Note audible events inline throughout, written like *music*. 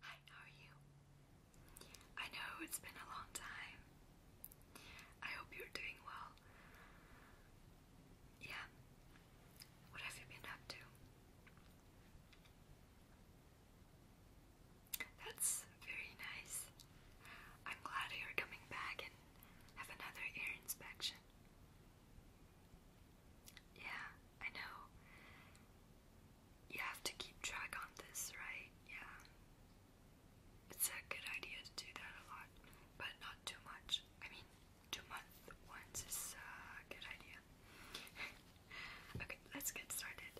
Hi, how are you? I know it's been a long time. I hope you're doing well. Yeah. What have you been up to? That's very nice. I'm glad you're coming back and have another ear inspection. Yeah, I know you have to keep track on this, right? Yeah. It's a good idea to do that a lot, but not too much. I mean, two months once is a good idea. *laughs* okay, let's get started.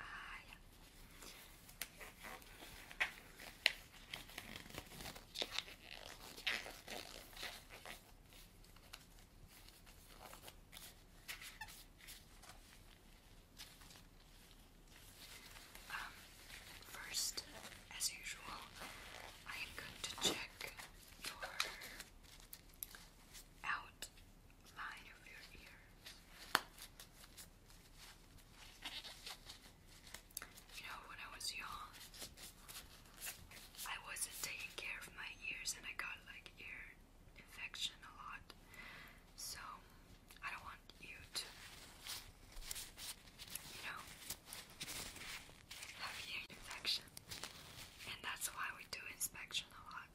Ah, um, first, as usual, I am going to check your outline of your ears. You know, when I was young, I wasn't taking care of my ears and I got like ear infection a lot. So, I don't want you to, you know, have ear infection. And that's why we do inspection a lot.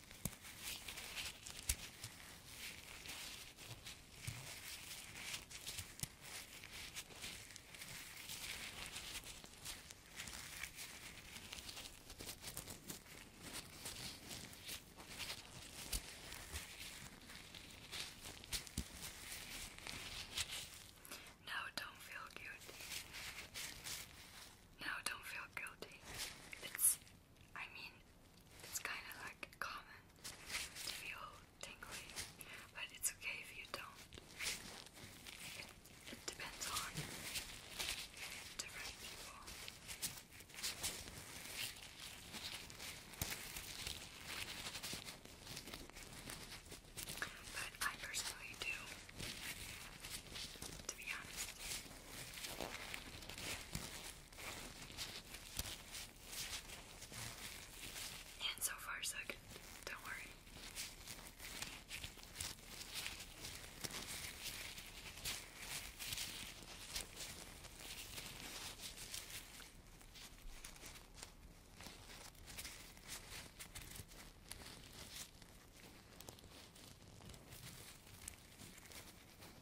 Now don't feel guilty. Now don't feel guilty. It's I mean, it's kind of like common to feel tingly, but it's okay if you don't. It, it depends on different people. But I personally do, to be honest. And so far, so good. Don't worry.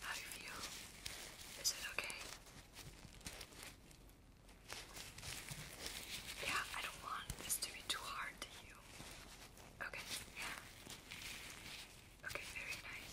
How do you feel? Is it okay? Yeah, I don't want this to be too hard to you. Okay, yeah. Okay, very nice.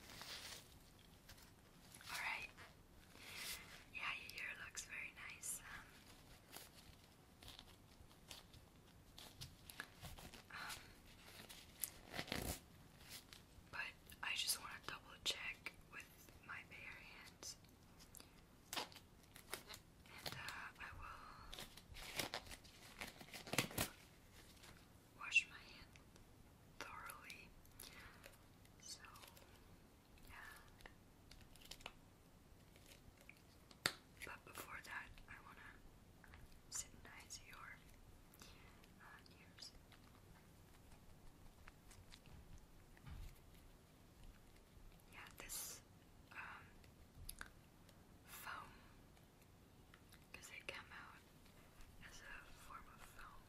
Alright. Yeah, your ear looks very nice. Um, um but I just want to double check with my bare And uh, I will wash my hand thoroughly. So, yeah. But before that, I wanna synchronize your uh, ears. Yeah, this um, foam because they come out as a form of film.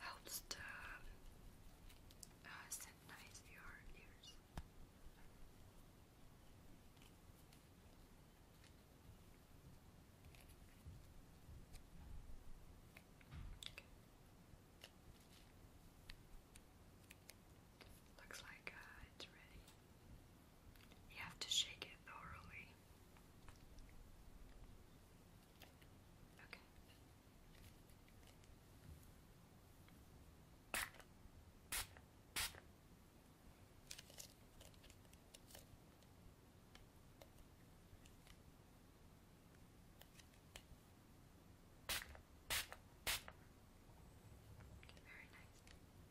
Helps to uh, synchronize your ears. Okay. Looks like uh, it's ready. You have to shake it thoroughly. Okay. Very nice.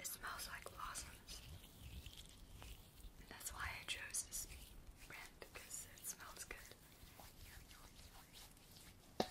It smells like blossoms. that's why I chose this brand because it smells good. Okay.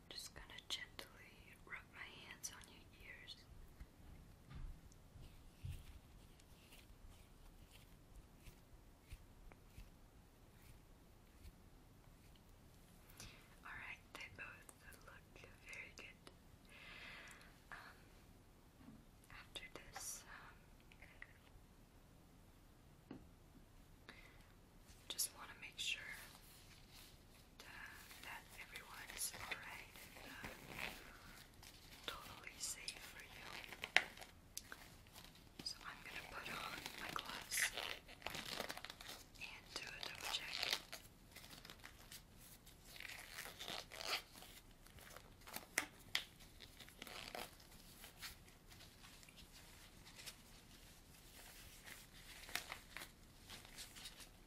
just gonna gently rub my hands on your ears. Alright, they both look very good. Um, after this, um, just want to make sure uh, that everyone is alright uh, totally safe for you. So I'm gonna put on my gloves and do a double check.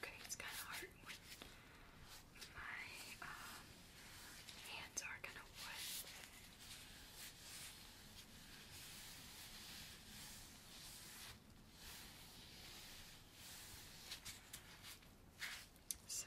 Okay, it's kind of hard my um, hands are kind of wet. So.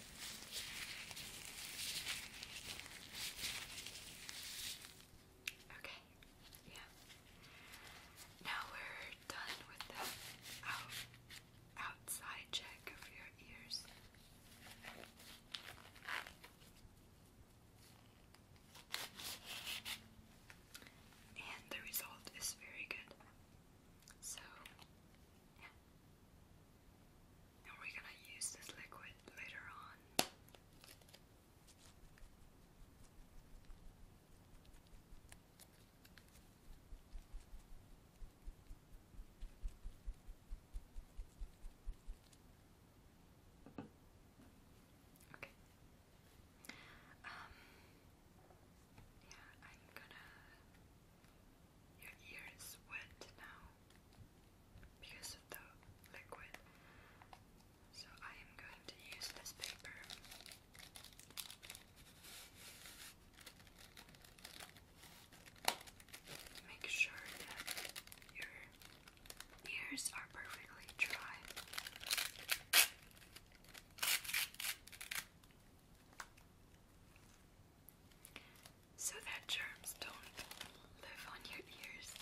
Okay, yeah. Now we're done with the out, outside check of your ears. And the result is very good. So, yeah. And we're going to use this liquid later on. Okay. Um, yeah, I'm gonna your ear is wet now because of the liquid. So I am going to use this paper. Make sure that your ears are perfectly dry so that germs don't live on your ears.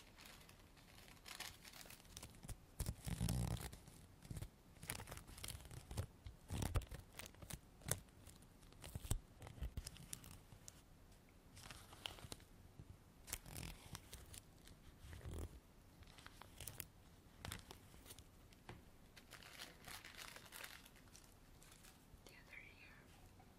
The other ear.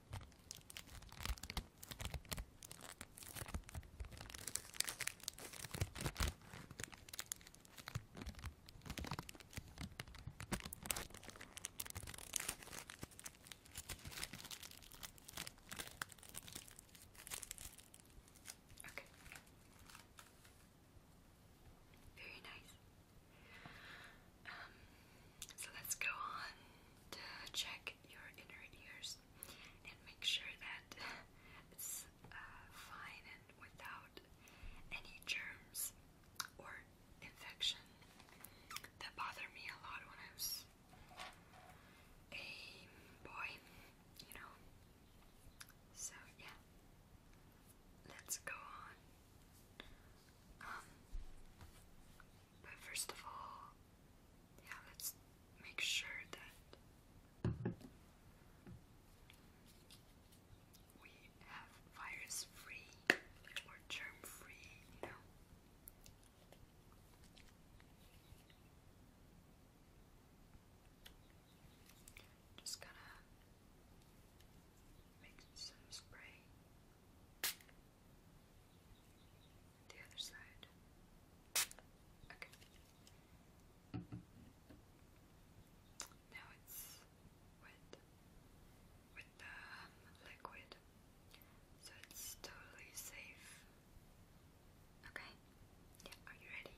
Okay. Very nice. Um, so let's go on to check your inner ears and make sure that it's uh, fine and without any germs or infection that bothered me a lot when I was a boy, you know. So, yeah, let's go on. Um, but first of all, yeah, let's make sure that we have virus free or germ free, you know. Just gonna make some spray. The other side. Okay. Now it's with with the um, liquid, so it's totally safe. Okay. Yeah. Are you ready?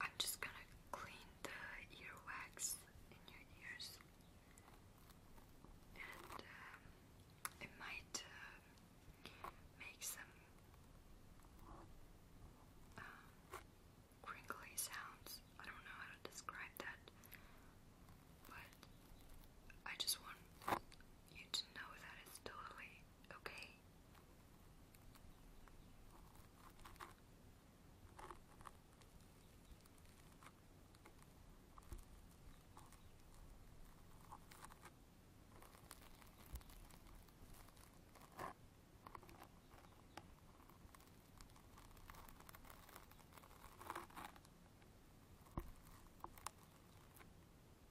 I'm just gonna clean the earwax in your ears, and um, it might uh, make some um, crinkly sounds. I don't know how to describe that, but I just want you to know that it's totally okay.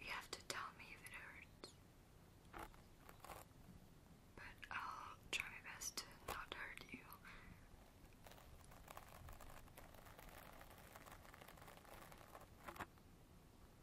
You have to tell me if it hurts. But I'll try my best to not hurt you.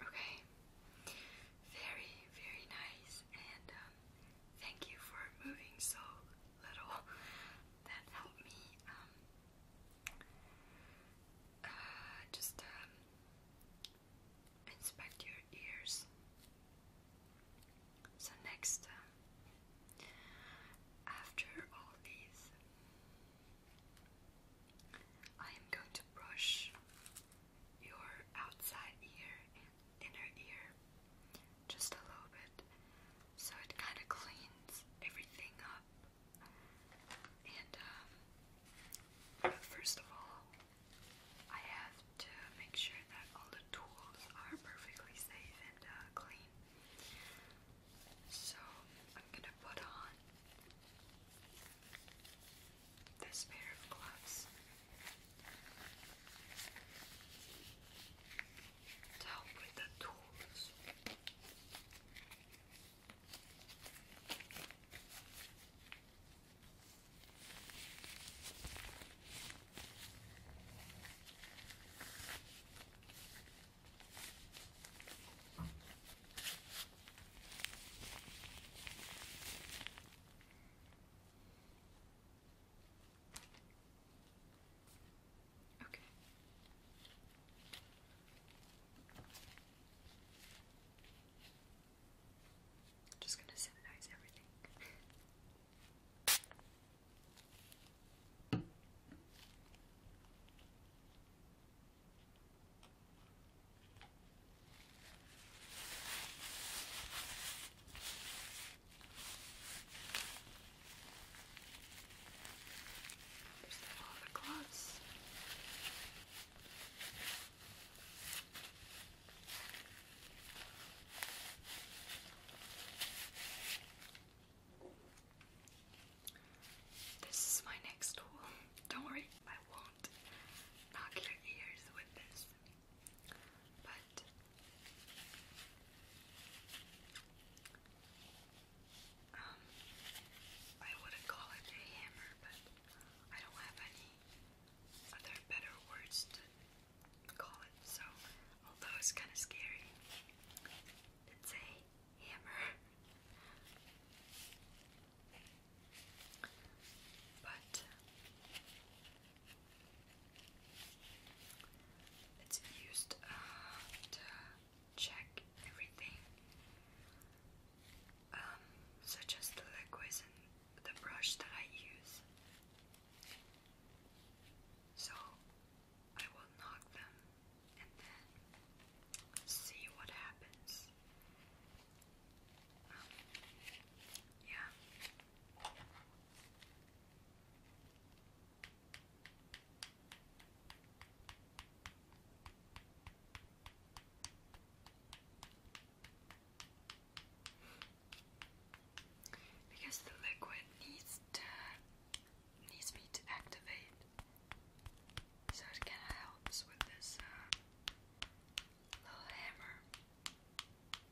Okay, very, very nice, and um, thank you for moving so little *laughs* that helped me um, uh, just um, inspect your ears. So, next, um, after all these, I am going to brush your outside ear in her ear just a little bit so it kind of cleans everything up. And um, first of all, I have to make sure that all the tools are perfectly safe and uh, clean. So I'm gonna put on this pair of gloves to with the tools. Okay. i just going to sanitize everything. There's the gloves. This is my next tool. *laughs* Don't worry, I won't knock your ears with this. But um, I wouldn't call it a hammer, but I don't have any other better words to call it, so although it's kind of scary, it's a hammer. But it's used uh, to check everything, um, such as the liquids and the brush that I use. So I will knock them and then see what happens. Um, yeah. Because the liquid needs to needs me to activate, so it kind of helps with this uh, little hammer.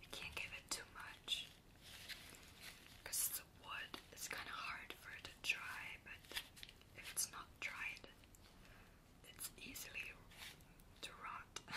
You can't give it too much because the wood is kind of hard for it to dry, but if it's not dried, it's easily to rot. *laughs*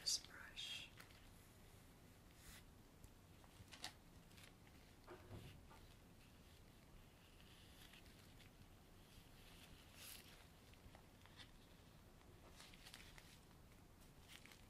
This brush.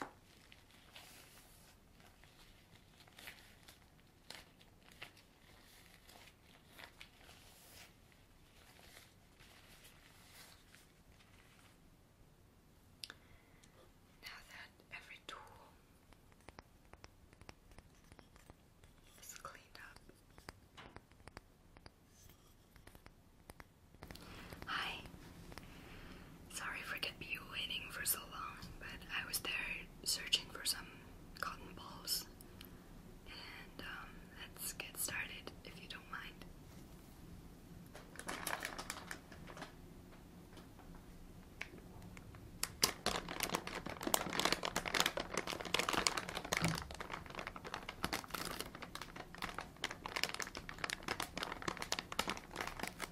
Now that every tool is cleaned up. Hi, Sorry for kept you waiting for so long, but I was there searching for some cotton balls. And um, let's get started if you don't mind.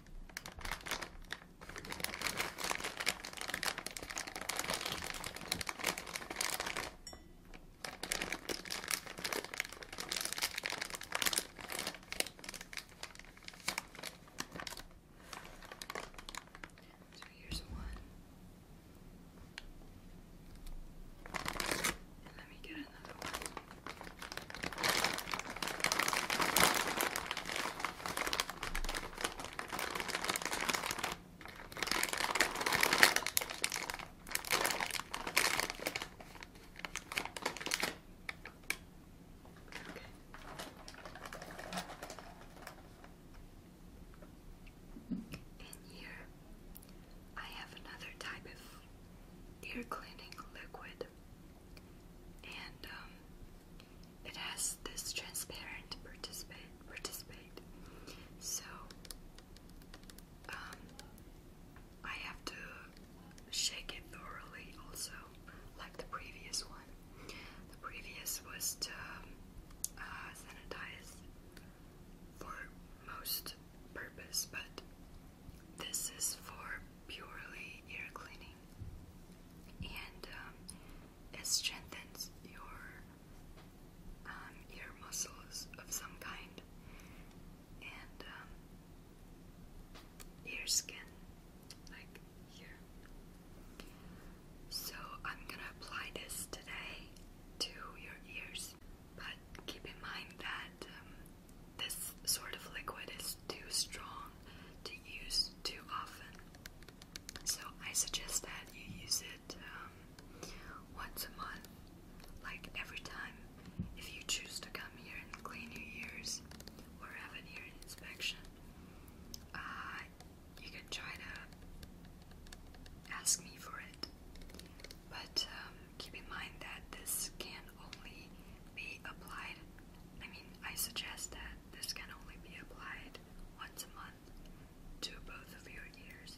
So here's one. Let me get another one. In here, I have another type of ear cleaning liquid and um, it has this transparent participate participate so um, I have to shake it thoroughly also like the previous one the previous was to um, uh, sanitize for most purpose but this is for purely ear cleaning and um, it strengthens your um, ear muscles of some kind and um, ear skin, like here. So I'm gonna apply this today to your ears, but keep in mind that this sort of liquid is too strong to use too often, so I suggest that you use it um, once a month, like every time if you choose to come here and clean your ears or have an ear inspection. Uh, you can try to ask me for it, but um, keep in mind that this can only be applied I mean, I suggest that this can only be applied once a month to both of your ears.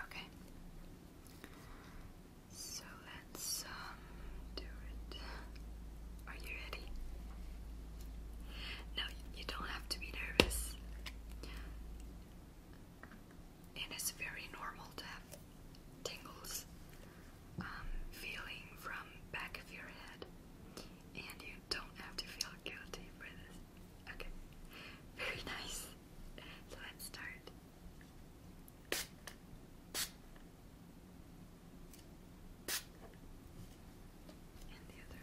Okay. So let's um, do it. Are you ready? No, you don't have to be nervous. it's very normal to have tingles um, feeling from back of your head. And you don't have to feel guilty for this. Okay. *laughs* Very nice. So let's start. And the other.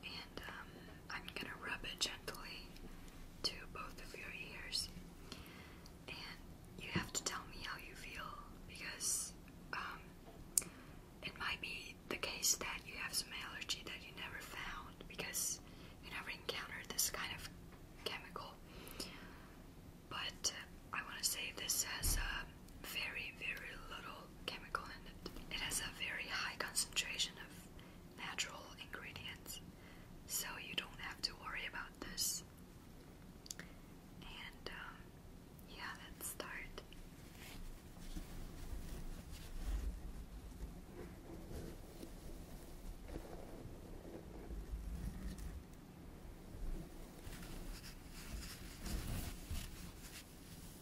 and um, I'm gonna rub it gently to both of your ears. And you have to tell me how you feel because um, it might be the case that you have some allergy that you never found because you never encountered this kind of chemical. But uh, I want to say this has a uh, very, very little chemical in it. It has a very high concentration of natural ingredients, so you don't have to worry about this. And um, yeah, let's start.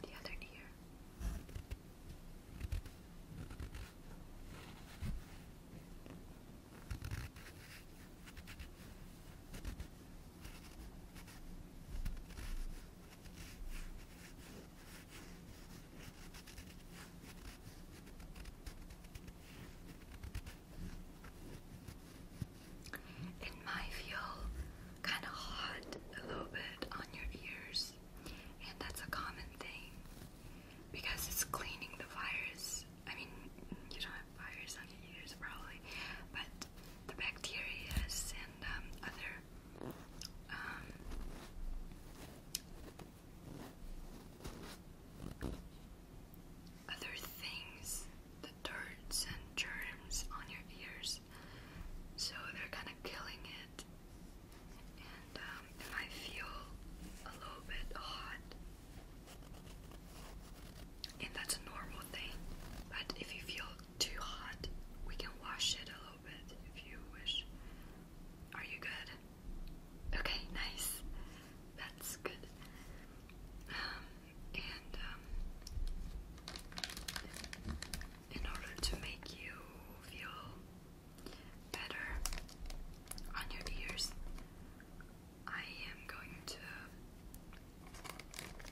The other ear. In my feel, kind of hot a little bit on your ears and that's a common thing because it's cleaning the virus. I mean, you don't have virus on your ears probably, but the bacteria and um, other um, other things, the dirts and germs on your ears. So they're kind of killing it and um, feel a little bit hot, and that's a normal thing. But if you feel too hot, we can wash it a little bit if you wish. Are you good? Okay, nice. That's good. Um, and um, in order to make you feel better on your ears. I am going to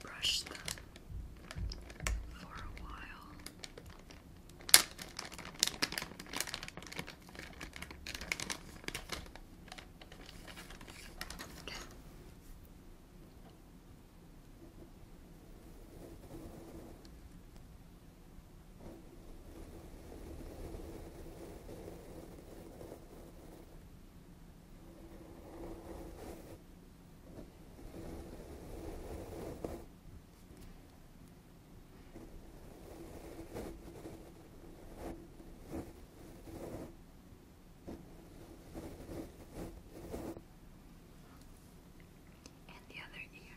brush them for a while. Okay. And the other ear.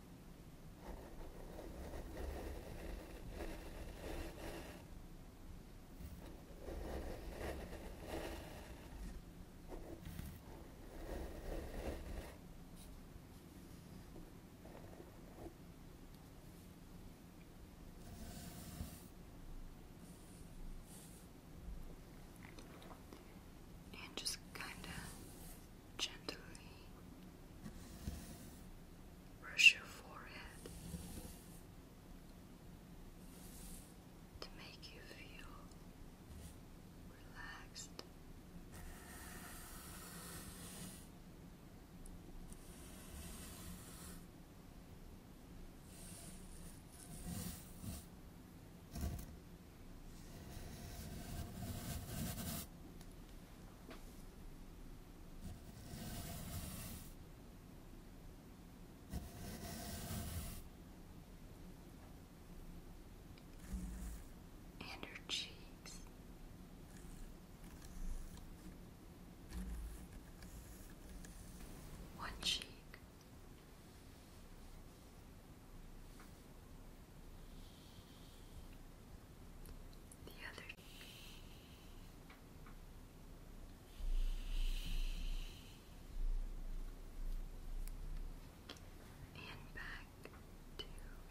And just kind of gently brush your forehead to make you feel relaxed and her cheeks. One cheek. The other and back to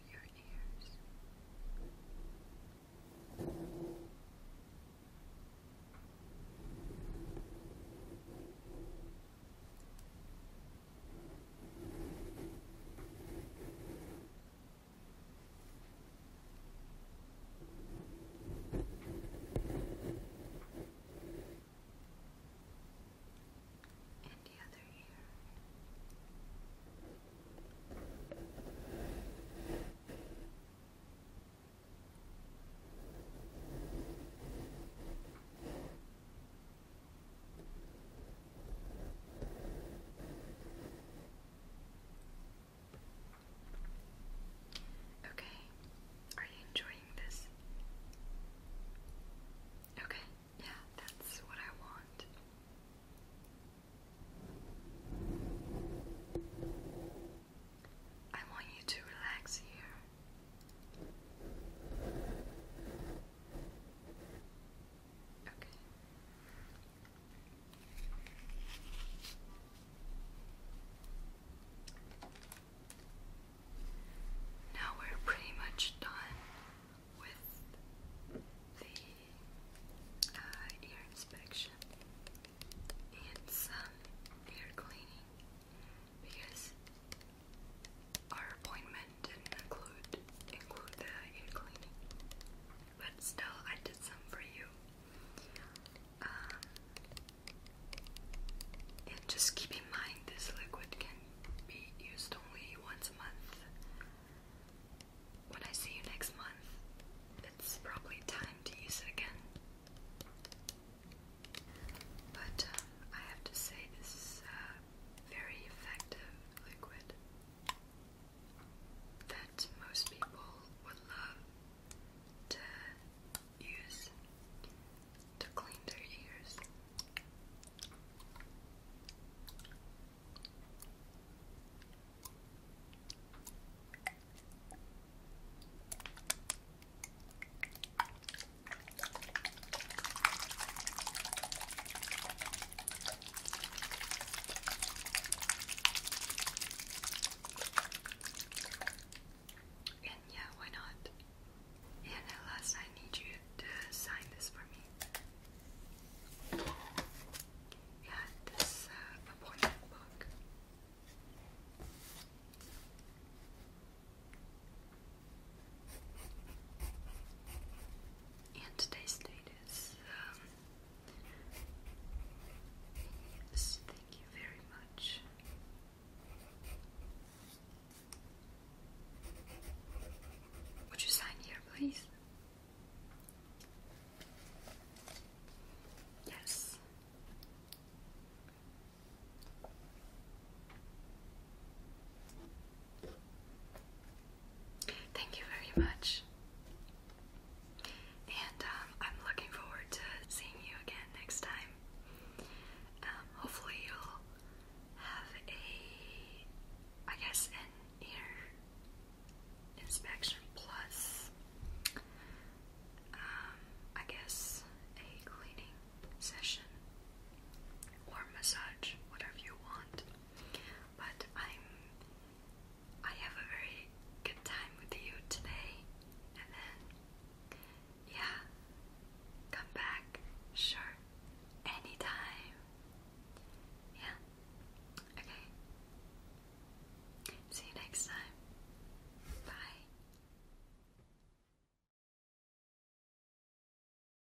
your ears. And the other ear. Good. Okay, are you enjoying this? Okay, yeah, that's what I want. I want you to relax here. Okay. Now we're pretty much done with the uh, ear inspection and ear cleaning because our appointment didn't include include the ear cleaning but still, I did some for you. Um, and just keep in mind this liquid can be used only once a month. When I see you next month, it's probably time to use it again. But um, I have to say, this is a very effective liquid that most people would love to use to clean their ears. And yeah, why not? And last, I need you to sign this for me. Yeah, this uh, And today's date is um, Yes, thank you very much. Would you sign here, please? Yes. Thank you very much. And um, I'm looking forward to seeing you again next time. Um, hopefully, you'll have a, I guess, an ear inspection plus, um, I guess, a cleaning session or massage, whatever you want. But I'm I have a very good time with you today, and then, yeah, come back, sure, anytime. Yeah, okay. See you next time. Bye.